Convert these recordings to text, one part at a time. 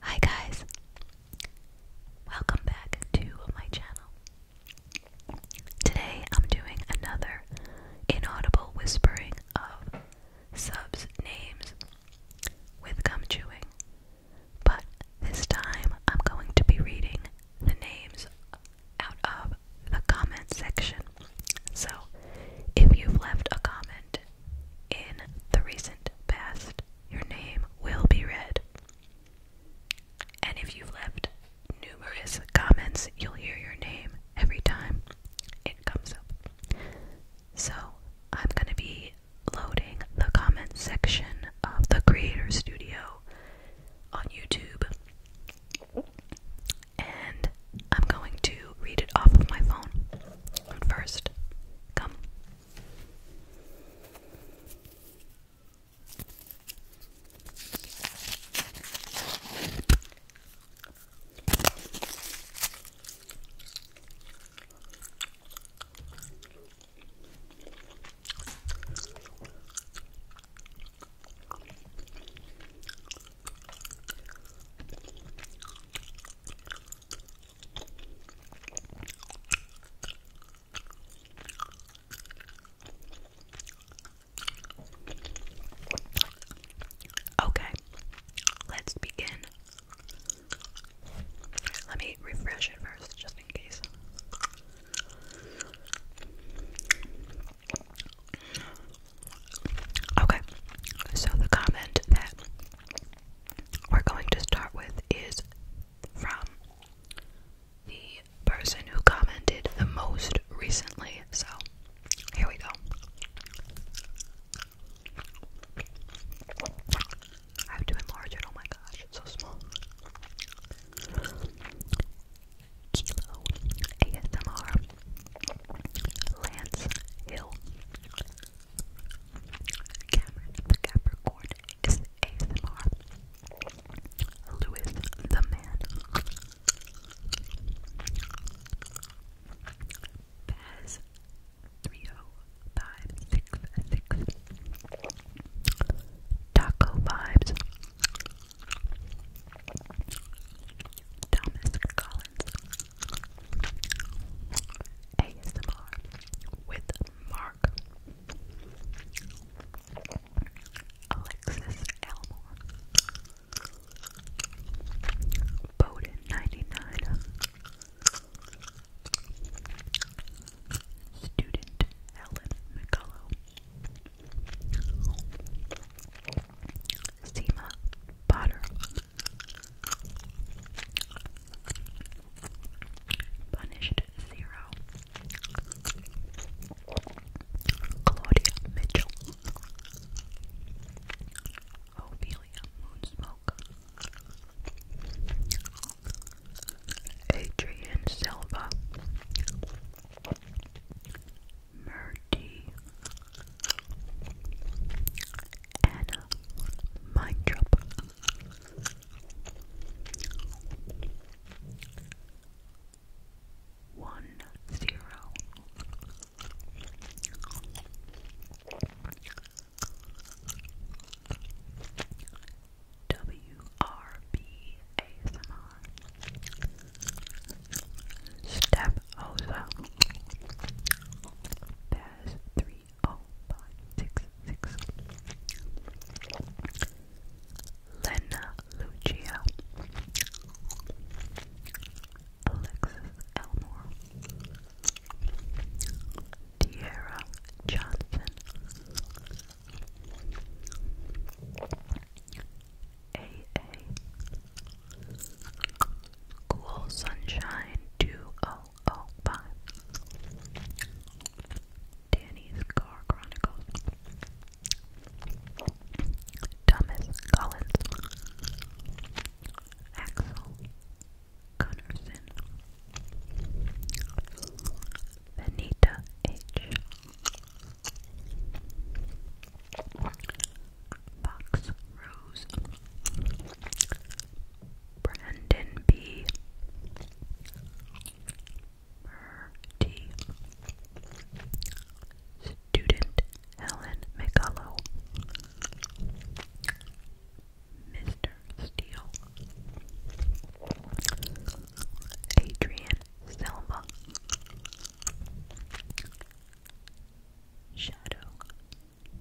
Hi guys! Welcome back to my channel. Today I'm doing another inaudible whispering of subs names with gum chewing, but this time I'm going to be reading the names out of the comment section. So if you've left a comment in the recent past, your name will be read. And if you've left numerous comments, you'll hear your name every time it comes up. So, I'm going to be loading the comment section of the Creator Studio on YouTube. And I'm going to read it off of my phone. But first, come. Okay, let's begin. Let me refresh it first, just in case. Okay, so the comment that we're going to start with is from the person who commented the most recently. So here we go. I have to enlarge it. Oh my gosh, so small. ASMR Lance Hill. Cameron the Capricorn is ASMR. Louis the Man. Baz 30566. Taco Vibes. Thomas Collins. ASMR with Mark Alexis Elmore Bowden 99 Student Helen McCullough Seema Potter Punished Zero. Claudia Mitchell. Ophelia Moonsmoke. Adrian Silva. Murty, Anna, Mind Job, One Zero, WRB Stephosa. Baz three oh five six six. Lena Lucia. Alexis Elmore. Tierra Johnson. A.A. Cool Sunshine 2005. Danny's Car Chronicles. Thomas Collins. Axel Gunnarsson. Benita H. Fox Rose, Brandon B, Murty, Student Helen McCullough, Mr. Steele, Adrian Selma, Shadow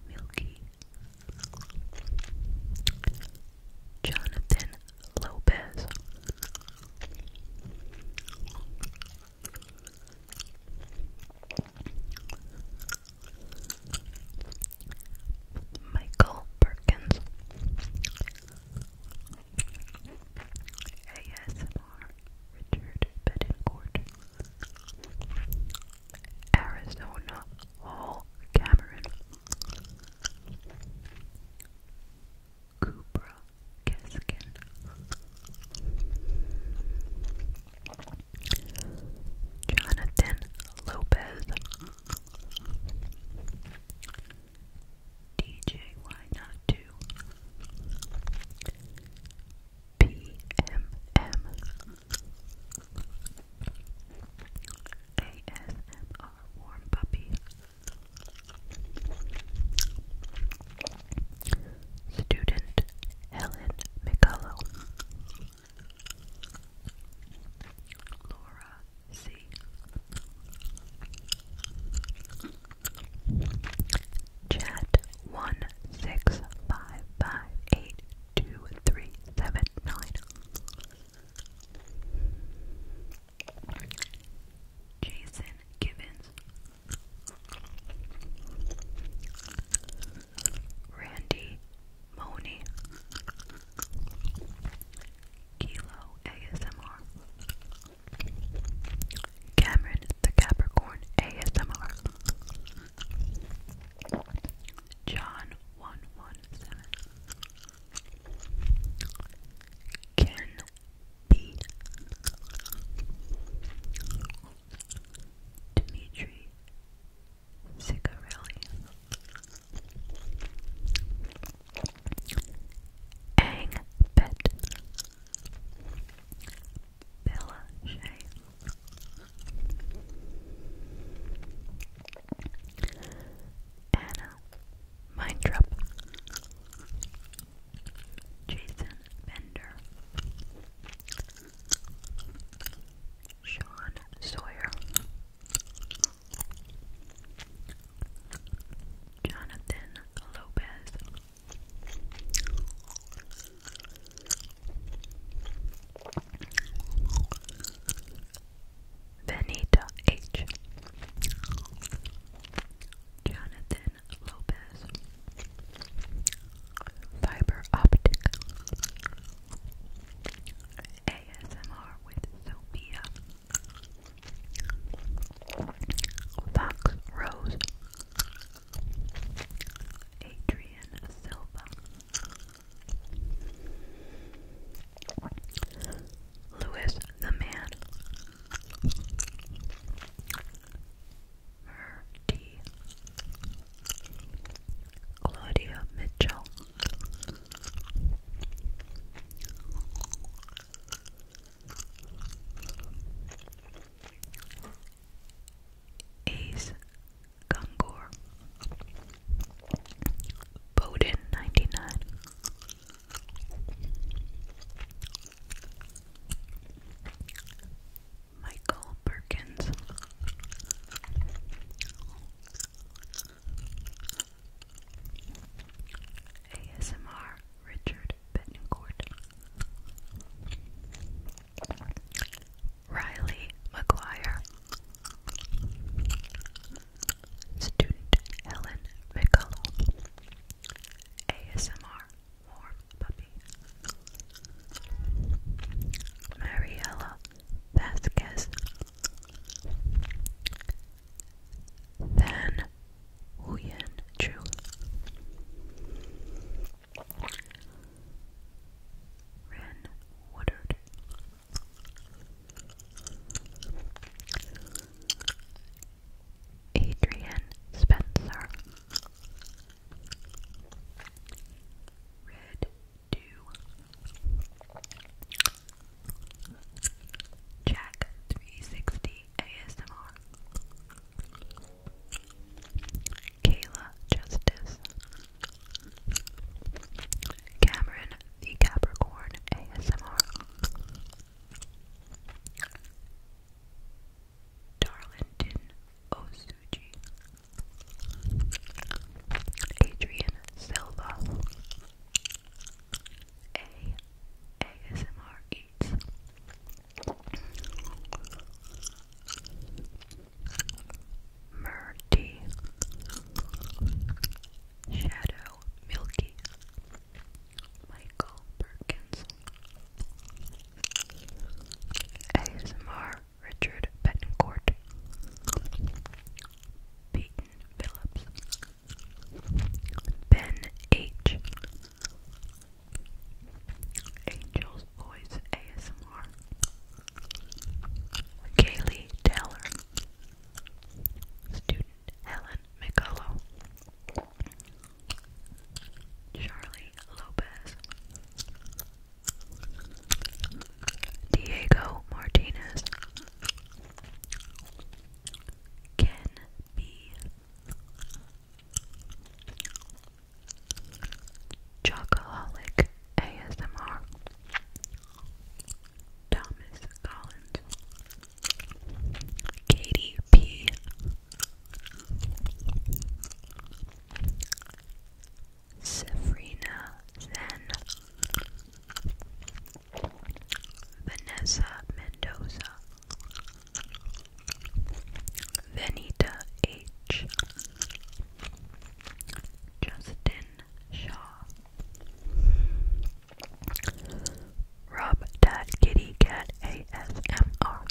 Milky Jonathan Lopez Michael Perkins ASMR Richard Bettencourt Arizona Hall Cameron Kubra Keskin Jonathan Lopez DJ Why Not Do ASMR Warm Puppy Student Helen McCullough Laura C. Chat one six five five eight two three seven nine. Jason Gibbons. Randy Money. Kilo ASMR. Cameron the Capricorn ASMR John one one seven Ken B Dimitri Sigarelli Ang Bet Bella Shay Anna Mindrup Jason Bender Sean Sawyer Jonathan Lopez Benita H. Jonathan Lopez. Fiber Optic. ASMR with Sophia. Fox Rose. Adrian Silva, Lewis the Man, Murty, Claudia Mitchell. Ace Gungor Bowden 99 Michael Perkins ASMR Richard Betancourt, Riley McGuire, Student Helen McCullum, ASMR Warm Puppy, Mariella Vasquez, Van Huyan Chu. Ren Woodard. Adrian Spencer. Red Dew. Jack 360. ASMR. Kayla Justice. Cameron the Capricorn ASMR. Darlington Osuji. Adrian Silva. ASMR Eats. Murty Shadow Milky Michael Perkins ASMR Richard Betancourt Peyton Phillips Ben H Angel's Voice ASMR, Kaylee Taylor, Student Helen McCullough, Charlie Lopez, Diego Martinez, Ken be Chocoholic ASMR Thomas Collins Katie Safrina Zen Vanessa Mendoza Venita H. Justin Shaw. Rob Dad Kitty Cat ASMR.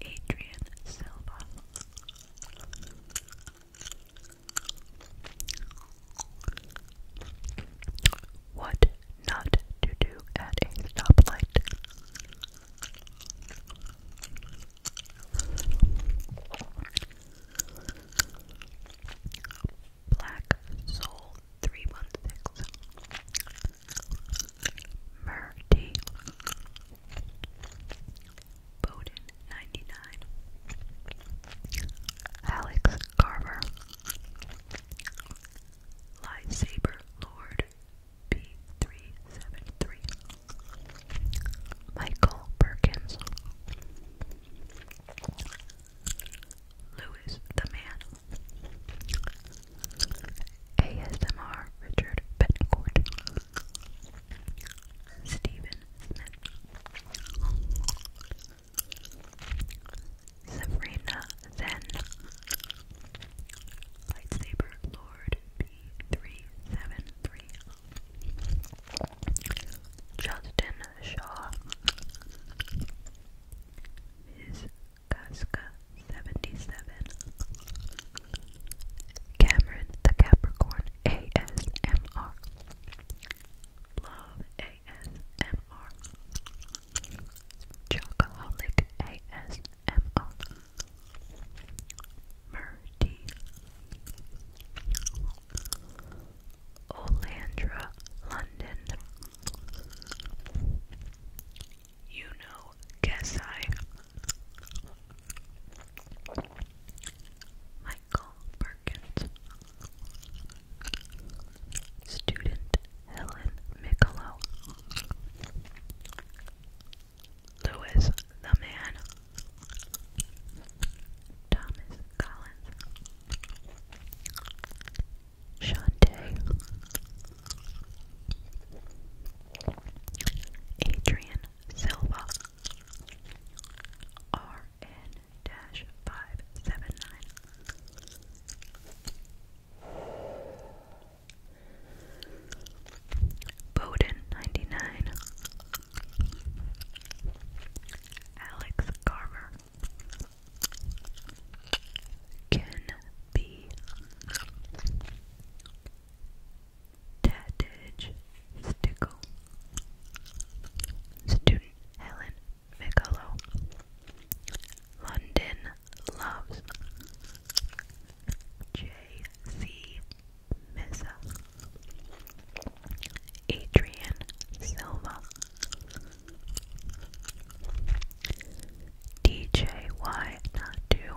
Adrian Silva. What not to do at a stoplight. Black Soul 316 Murty Bowden 99 Alex Carver Lightsaber Lord B373 Michael Perkins Lewis the Man ASMR Richard Bettencourt Stephen Sabrina Zen Lightsaber Lord B373 Justin Shaw Ms. Casca 77 Cameron the Capricorn ASMR Love ASMR Chocoholic ASMR Murdy Olandra London You guess I Michael Perkins Student Helen Miccolo. Lewis the Man. Thomas Collins. Shantae. Adrian Silva. R. N. Bowden, 99. Alex Carver. Ken B. Tadage Stickle. Student Helen Bigelow. London Loves. J.C. Missa. Adrian Silva. D.J.Y. Nadu.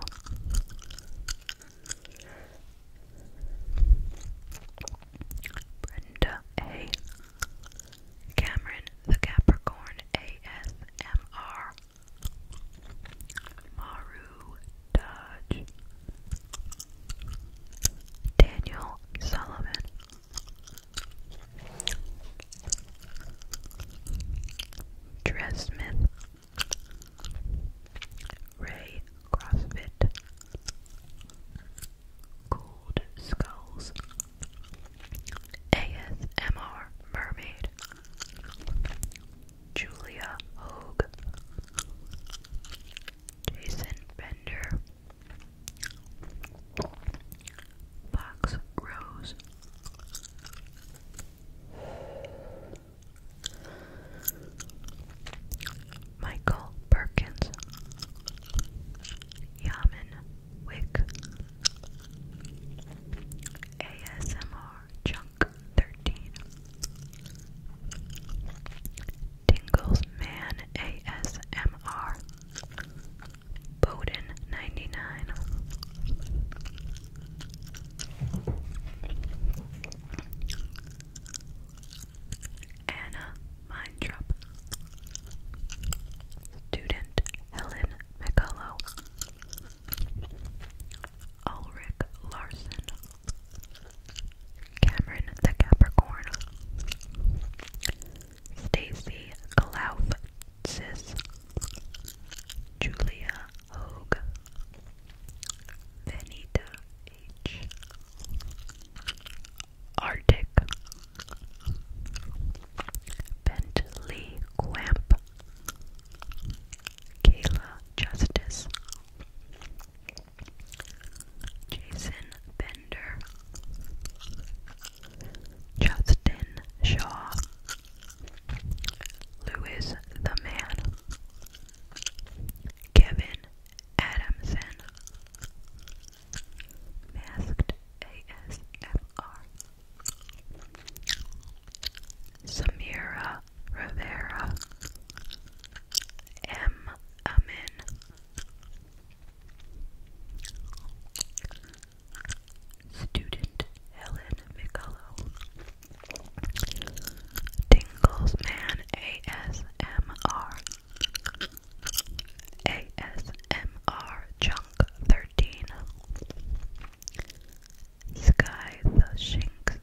Brenda A. Cameron the Capricorn ASMR Maru Dodge Daniel Sullivan Dressmith Ray CrossFit Cold Skulls ASMR Mermaid Julia Hogue Jason Bender Fox Rose Michael Perkins Yaman Wick ASMR Chunk 13 Tingles Man ASMR Bowden 99 Anna Mindrup, student Helen McCullough, Ulrich Larson, Cameron the Capricorn, Stacy Sis, Julia Hogue, Venita H. Arctic Bentley Quamp Kayla Justice Jason Bender Justin Shaw Lewis the Man Kevin Adamson Masked ASMR Samira Rivera M. Student Helen McCullough Tingles Man ASMR ASMR Chunk 13 Sky the Shinx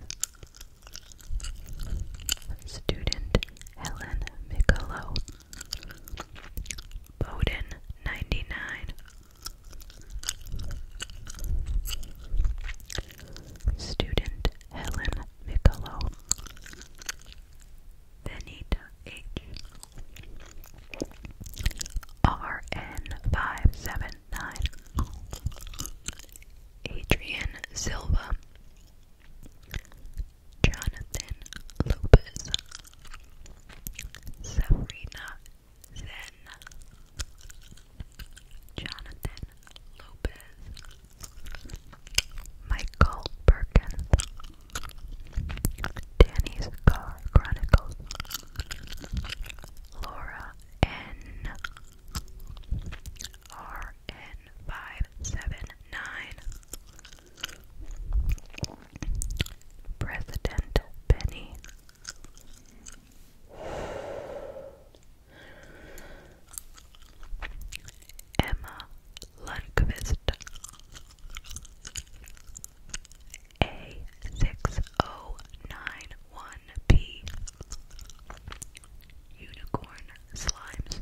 Student Helen Micolo Bowden 99 Student Helen Micolo Benita H. RN579 Adrian Silva Jonathan Lopez Sabrina Zen Jonathan Lopez Michael Perkins, Danny's Car Chronicles, Laura N R N five seven nine, President Benny. Emma Lundqvist A6091P Unicorn Slimes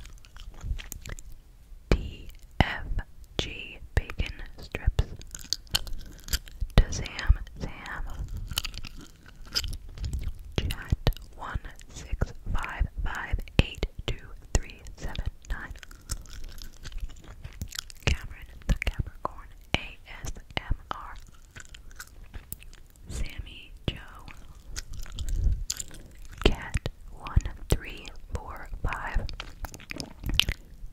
DFG Bacon Strips Dazam Zam Chat 16558 two, three, seven, nine. Cameron the Capricorn ASMR. Sammy Joe. Cat one, three, four, five.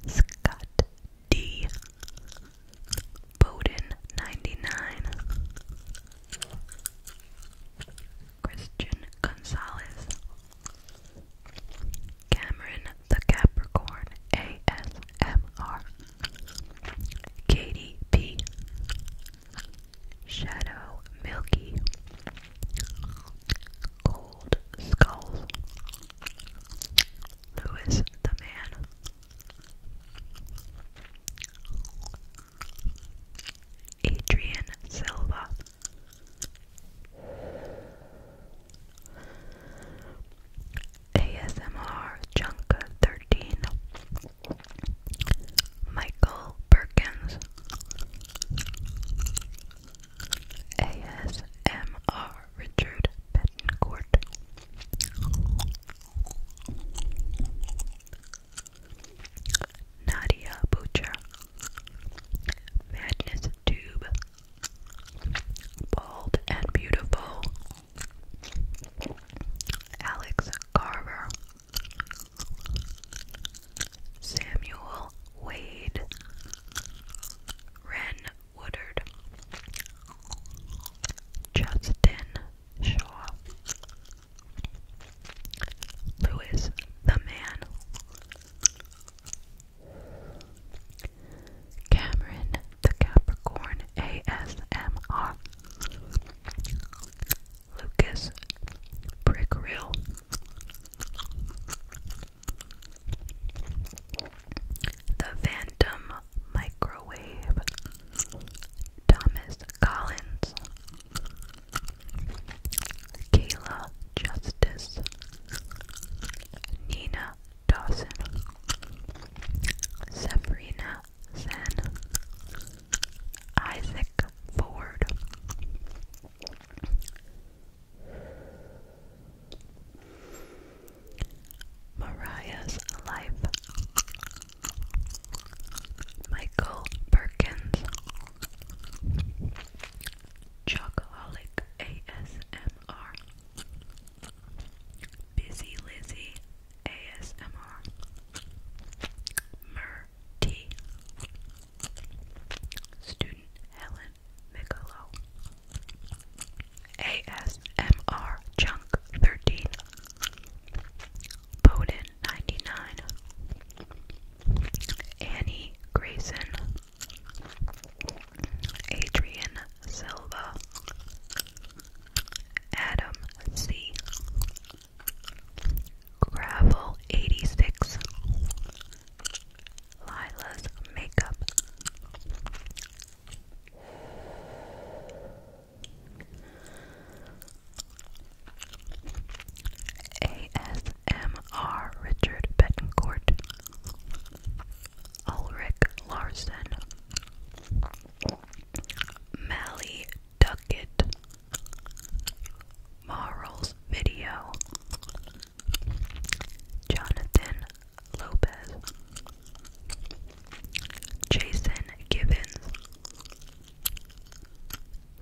Scott D. Bowden ninety nine. Christian Gonzalez, Cameron the Capricorn ASMR, Katie P, Shadow Milky, Gold Skulls, Lewis the Man, Adrian Silva. ASMR Junk 13 Michael Perkins ASMR Richard Betancourt Nadia Butcher, Madness Tube, Bald and Beautiful, Alex Carver, Samuel Wade, Ren Woodard, Justin Shaw, Lewis, the man. Cameron, the Capricorn ASMR. Lucas, Brick Real. The Phantom Microwave. Thomas Collins. Kayla Justice, Nina Dawson, Sabrina Zen, Isaac Ford. Mariah's Life Michael Perkins Chocoholic ASMR Busy Lizzie ASMR Mer T Student Helen Micolo ASMR Chunk 13 Bowden 99. Annie Grayson, Adrian Silva, Adam C. Gravel 86, Lila's Makeup. ASMR Richard Betancourt, Ulrich Larson, Mally Duckett, Marl's Video, Jonathan Lopez, Jason Gibbons.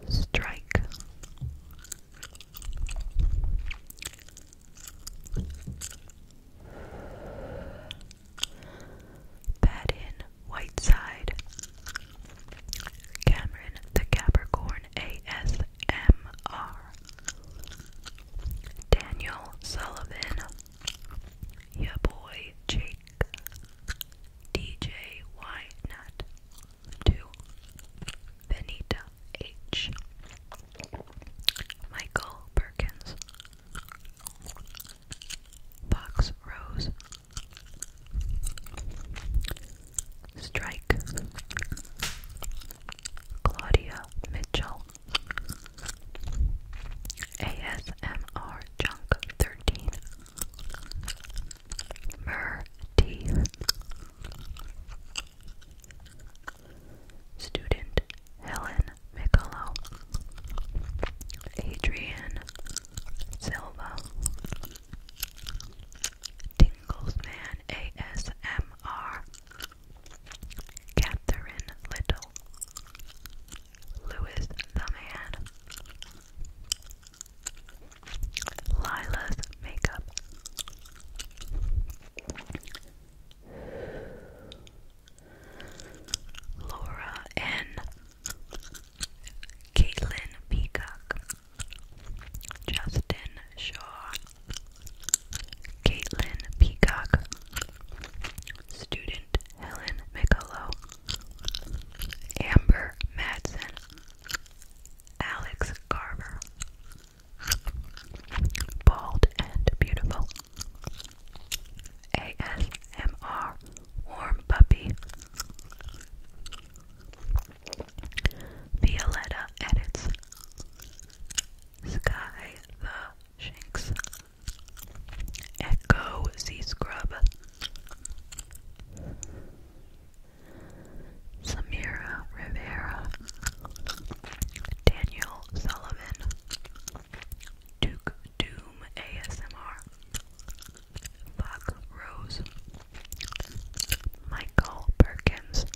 Strike. Pat Whiteside. Cameron the Capricorn ASMR. Daniel Sullivan. Ya boy Jake. DJ Ynut. 2. Benita H. Michael Perkins. Fox Rose. Strike. Claudia Mitchell. ASMR Junk 13. Mer Student Helen Micolo. Adrian Silva. Tinglesman ASMR. Catherine Little. Lewis the Man. Lila's makeup. Laura N. Caitlin Peacock. Justin Shaw. Caitlin Peacock. Student Helen McCullough. Amber Madison, Alex Carver, Bald and Beautiful, ASMR Warm Puppy, Violetta Edits, Sky the Shinx, Echo Z Scrub. Samira Rivera, Daniel Sullivan, Duke Doom ASMR, Buck Rose, Michael Perkins.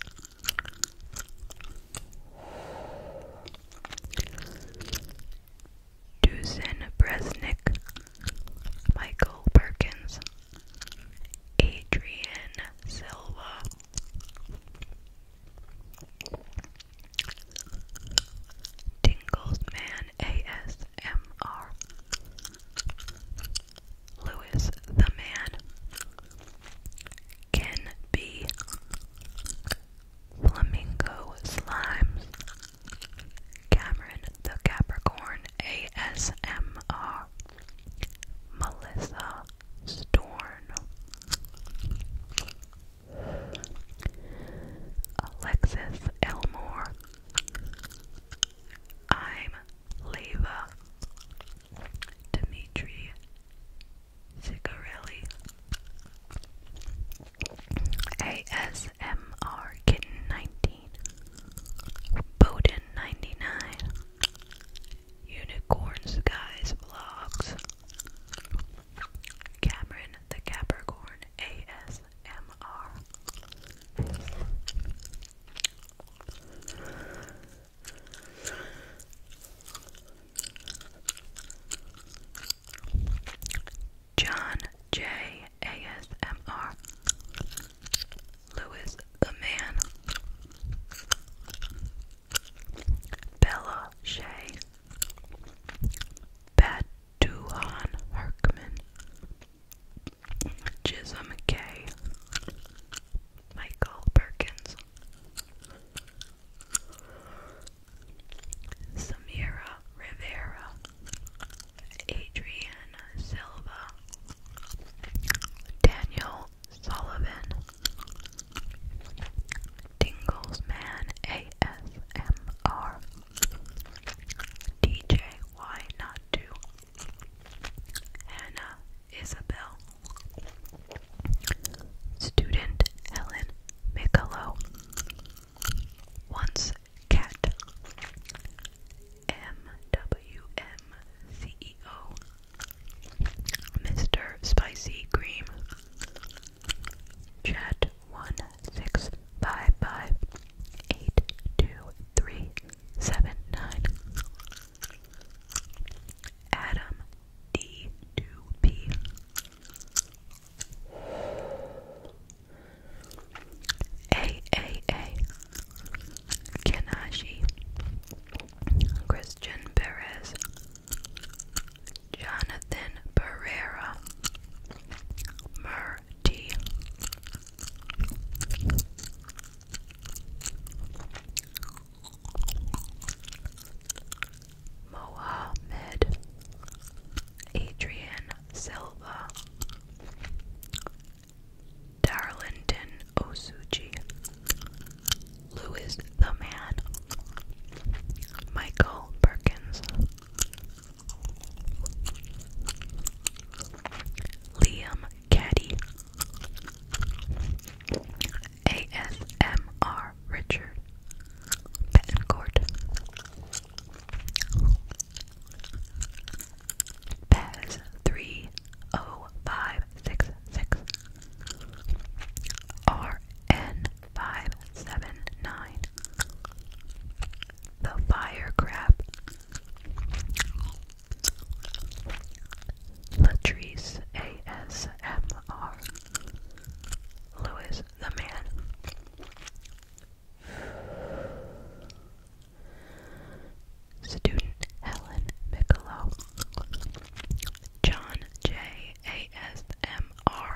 Dusan Bresnik, Michael Perkins, Adrian Silva, Man, ASMR, Lewis the Man, Ken B. Flamingo Slimes Cameron the Capricorn ASMR Melissa Storm, Alexis Elmore I'm Leva Dimitri Sigarelli ASMR Kitten 19, Bowden 99, Unicorn Skies Vlogs, Cameron the Capricorn ASMR. John J A S M R. Lewis the Man Bella Shay Batuhan Herkman Jism K Michael Perkins Samira Rivera, Adriana Silva, Daniel Sullivan, Dinglesman ASMR, DJ Why Not Do, Hannah Isabel, Student Helen Michelow, Once Cat M W M C E O Mr. Spicy Cream Chat one six five five eight two three seven nine Adam D two P a A A Kenashi Christian Perez Jonathan Pereira Murti Mohamed Adrian Silva, Darlington Osuji, Lewis the Man, Michael Perkins, Liam Caddy, ASMR Richard Bettencourt. Pez three O oh, five six six R N five seven nine The Fire Crab Latrice ASMR Lewis the Man Student Helen Michelow, John J. A. S. M. R.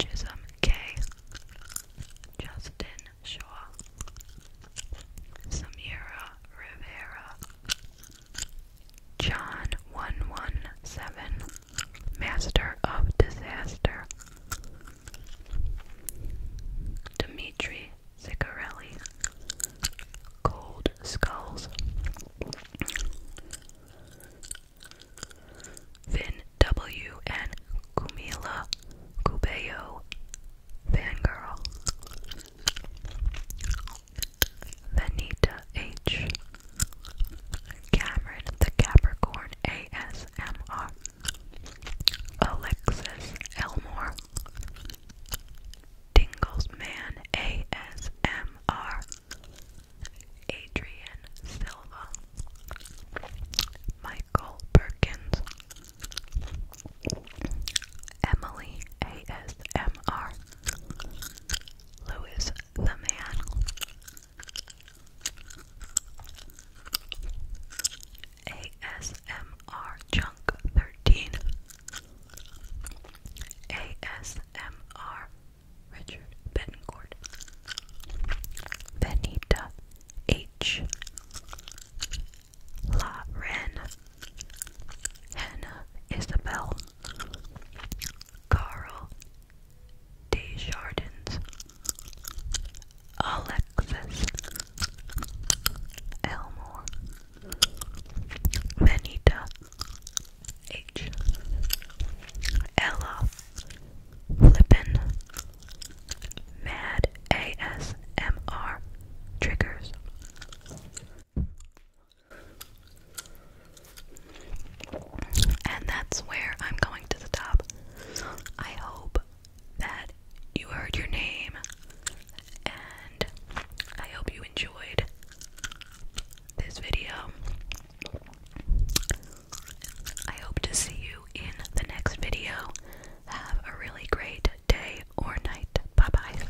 Chisholm K. Justin Shaw, Samira Rivera, John one one seven, master of disaster. Dmitri Zicarelli, Cold Skulls. Vin W. and Kumila Cubayo, Fangirl. Vanita H. Cameron the Capricorn ASMR Alexis Elmore Dinglesman ASMR Adrian Silva Michael Perkins Emily ASMR Louis the Man ASMR Chunk 13 ASMR Richard Bencourt Benita H La Ren Hannah Isabel Carl Desjardins, Alexis, Elmore, Benita, H, Ella, Flippin, Mad ASMR Triggers. And that's where I'm going to the top. I hope that you heard your name and I hope you enjoyed this video. I hope to see you in the next video. Have a really great day or night. Bye bye.